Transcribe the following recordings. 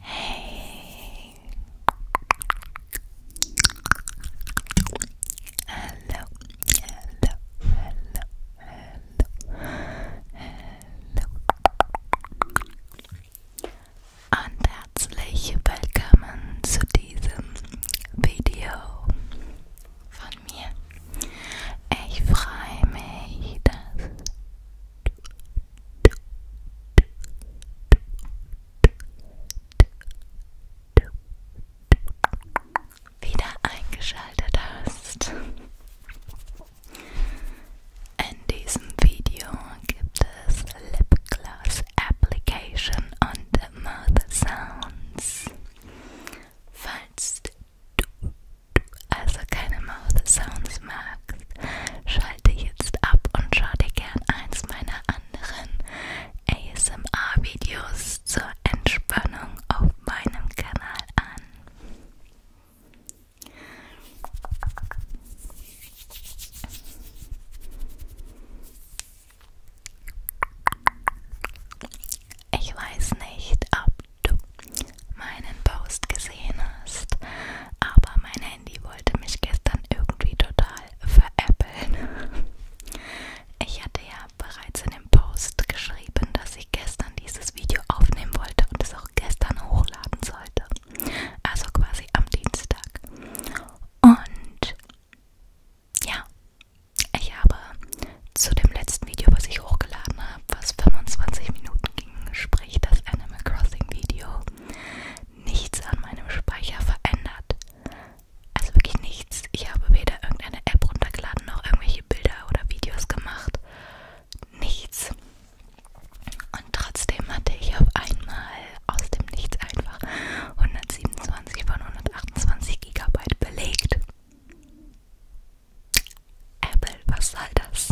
Hey. Hello. Hello. Hello. Hello. Hello. Und herzlich willkommen zu diesem Video von mir. Ich freue mich, dass wieder eingeschaltet hast. In diesem Video gibt es Lip Gloss Application und Mouth Sounds. Falls du also keine Mouth Sounds magst, hast, schalte jetzt ab und schau dir gern eins meiner anderen ASMR-Videos zur Entspannung auf meinem Kanal an. Ich weiß nicht, ob du meinen Post gesehen hast. Aber mein Handy wollte mich gestern irgendwie total veräppeln. Ich hatte ja bereits in dem Post geschrieben, dass ich gestern dieses Video aufnehmen wollte und es auch gestern hochladen sollte. Also quasi am Dienstag. Und ja, ich habe zu dem letzten Video, was ich hochgeladen habe, was 25 Minuten ging, sprich das Animal Crossing Video, nichts an meinem Speicher verändert. Also wirklich nichts. Ich habe weder irgendeine App runtergeladen noch irgendwelche Bilder oder Videos gemacht. Nichts. Und trotzdem hatte ich auf einmal aus dem Nichts einfach 127 von 128 GB belegt. Apple, was soll das?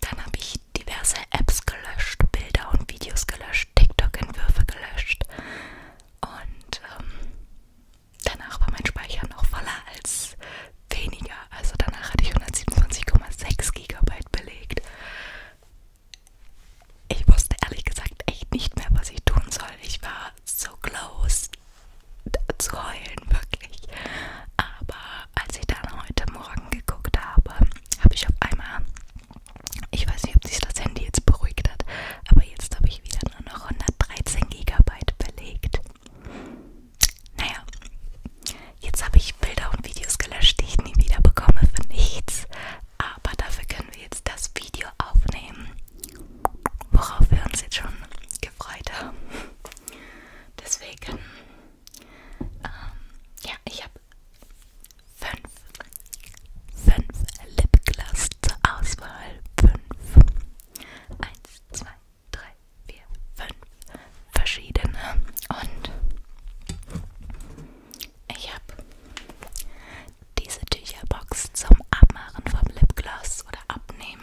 Dann habe ich diverse Apps gelöscht, Bilder und Videos gelöscht, TikTok-Entwürfe gelöscht. Und ähm, danach war mein Speicher noch voller als weniger. Also danach hatte ich 127,6 GB belegt. Ich wusste ehrlich gesagt echt nicht mehr, was ich tun soll. Ich war so close äh, zu heulen, wirklich. Aber als ich dann heute Morgen geguckt habe, habe ich auf einmal, ich weiß nicht, ob sich das Handy jetzt beruhigt hat, aber jetzt habe ich wieder nur noch 113 GB belegt. Naja, jetzt habe ich Bilder und Videos gelöscht, die ich nie wieder bekomme für nichts. Aber dafür können wir jetzt das Video aufnehmen, worauf wir uns jetzt schon gefreut haben. Deswegen ähm, ja, ich habe fünf, fünf Lipgloss zur Auswahl. Fünf. Eins, zwei, drei, vier, fünf verschiedene. Und ich habe diese Tücherbox zum Abmachen vom Lipgloss oder Abnehmen.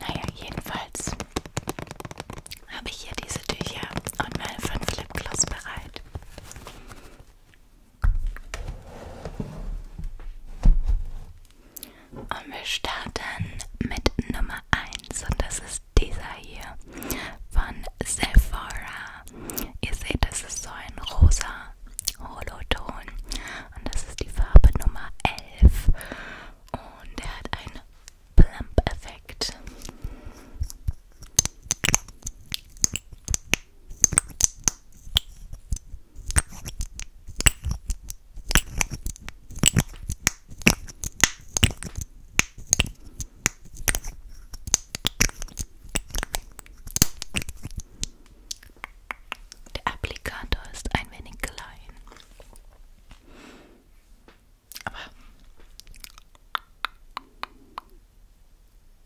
Naja, jedenfalls habe ich hier diese Tücher und meine fünf Lipgloss bereit. Und wir starten mit Nummer 1 und das ist dieser hier von Sephora. Ihr seht, das ist so ein rosa Holoton und das ist die Farbe Nummer 11 und der hat einen Plump-Effekt. Der Applikator ist ein wenig klein. Aber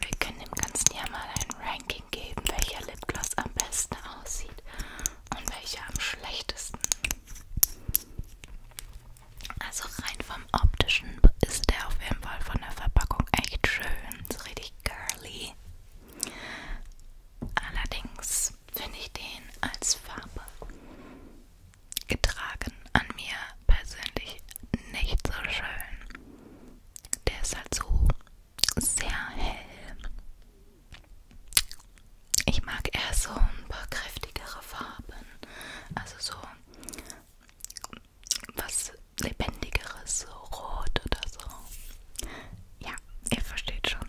Wir können dem Ganzen ja mal ein Ranking geben, welcher Lipgloss am besten aussieht und welcher am schlechtesten. Also rein vom optischen ist der auf jeden Fall von der Verpackung echt schön, so richtig girly. Allerdings finde ich den als Farbe getragen. An mir persönlich nicht so schön. Der ist halt so sehr hell. Ich mag eher so ein paar kräftigere Farben. Also so was lebendigeres, so rot oder so. Ja, ihr versteht schon.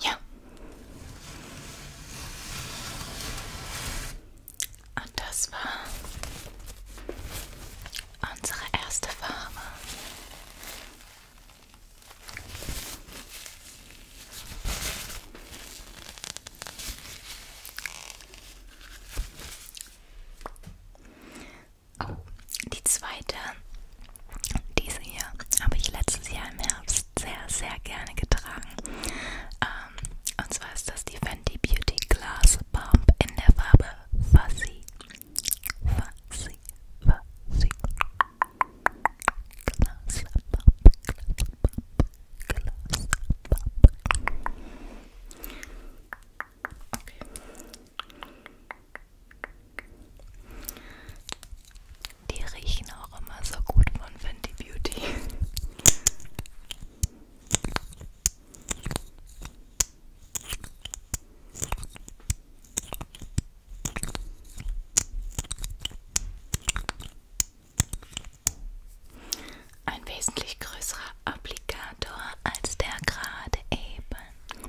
Ja. Und das war unsere erste Farbe. Oh, die zweite diese hier habe ich letztes Jahr im Herbst sehr, sehr gerne getragen. Ähm, und zwar ist das die Fenty Beauty Glass Bomb in der Farbe Fuzzy. Fuzzy, Fuzzy. Glass Bomb, Glass Bomb, Glass Bomb. Okay. Die riechen auch immer so gut von Fenty Beauty. Ein wesentlich größerer Applikator als der gerade eben.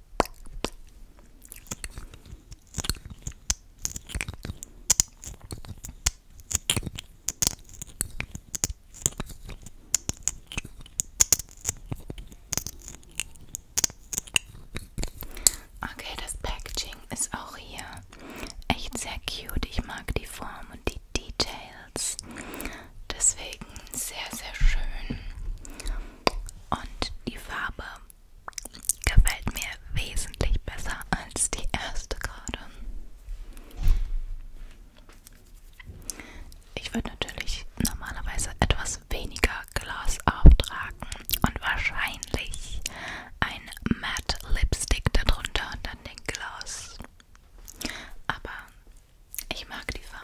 Okay, das Packaging ist auch hier echt sehr cute. Ich mag die Form und die Details. Deswegen sehr, sehr schön. Und die Farbe gefällt mir wesentlich besser als die erste gerade. Ich würde natürlich normalerweise etwas weniger Gloss auftragen und wahrscheinlich ein Matte Lipstick darunter und dann den Gloss. Aber ich mag die Farbe.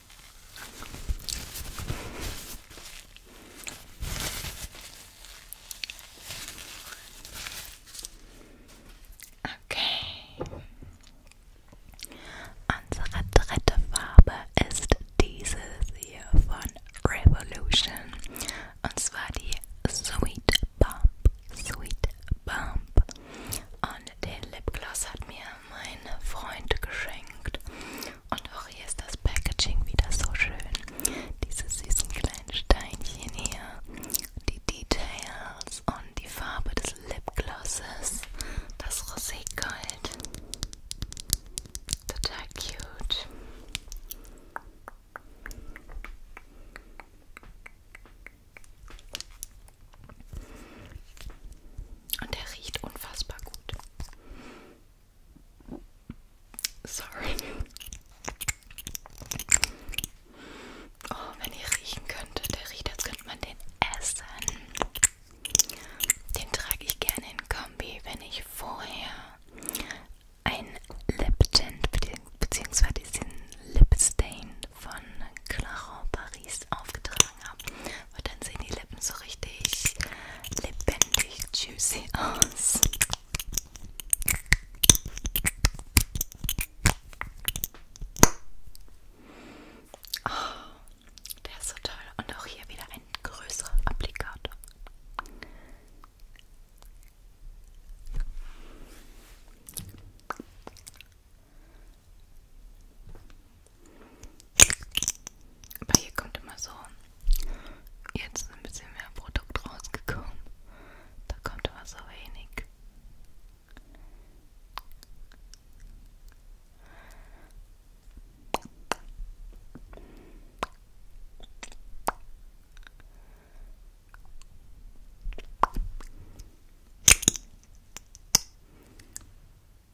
Okay. Unsere dritte Farbe ist dieses hier von Revolution. Und zwar die Sweet Bump. Sweet Bump. Und den Lipgloss hat mir mein Freund geschenkt. Und auch hier ist das Packaging wieder so schön. Diese süßen kleinen Steinchen hier, die Details und die Farbe des Lipglosses, das Roségold. Total cute. Und der riecht unfassbar gut. Sorry. Oh, wenn ihr riechen könntet, der riecht, als könnte man den essen. Den trage ich gerne in Kombi, wenn ich vorher ein Lip Tint bzw. diesen Lip Stain von Claro Paris Paris aufgetragen habe. Weil dann sehen die Lippen so richtig lebendig juicy aus. Oh, der ist so toll. Und auch hier wieder ein größerer Applikator. Aber hier kommt immer so, jetzt ist ein bisschen mehr Produkt rausgekommen. Da kommt immer so wenig.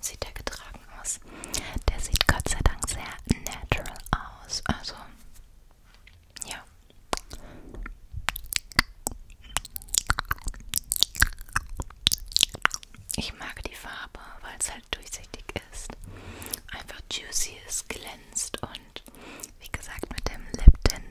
sieht der getragen aus. Der sieht Gott sei Dank sehr natural aus. Also, ja. Ich mag die Farbe, weil es halt durchsichtig ist. Einfach juicy ist, glänzt und wie gesagt mit dem Lip Tint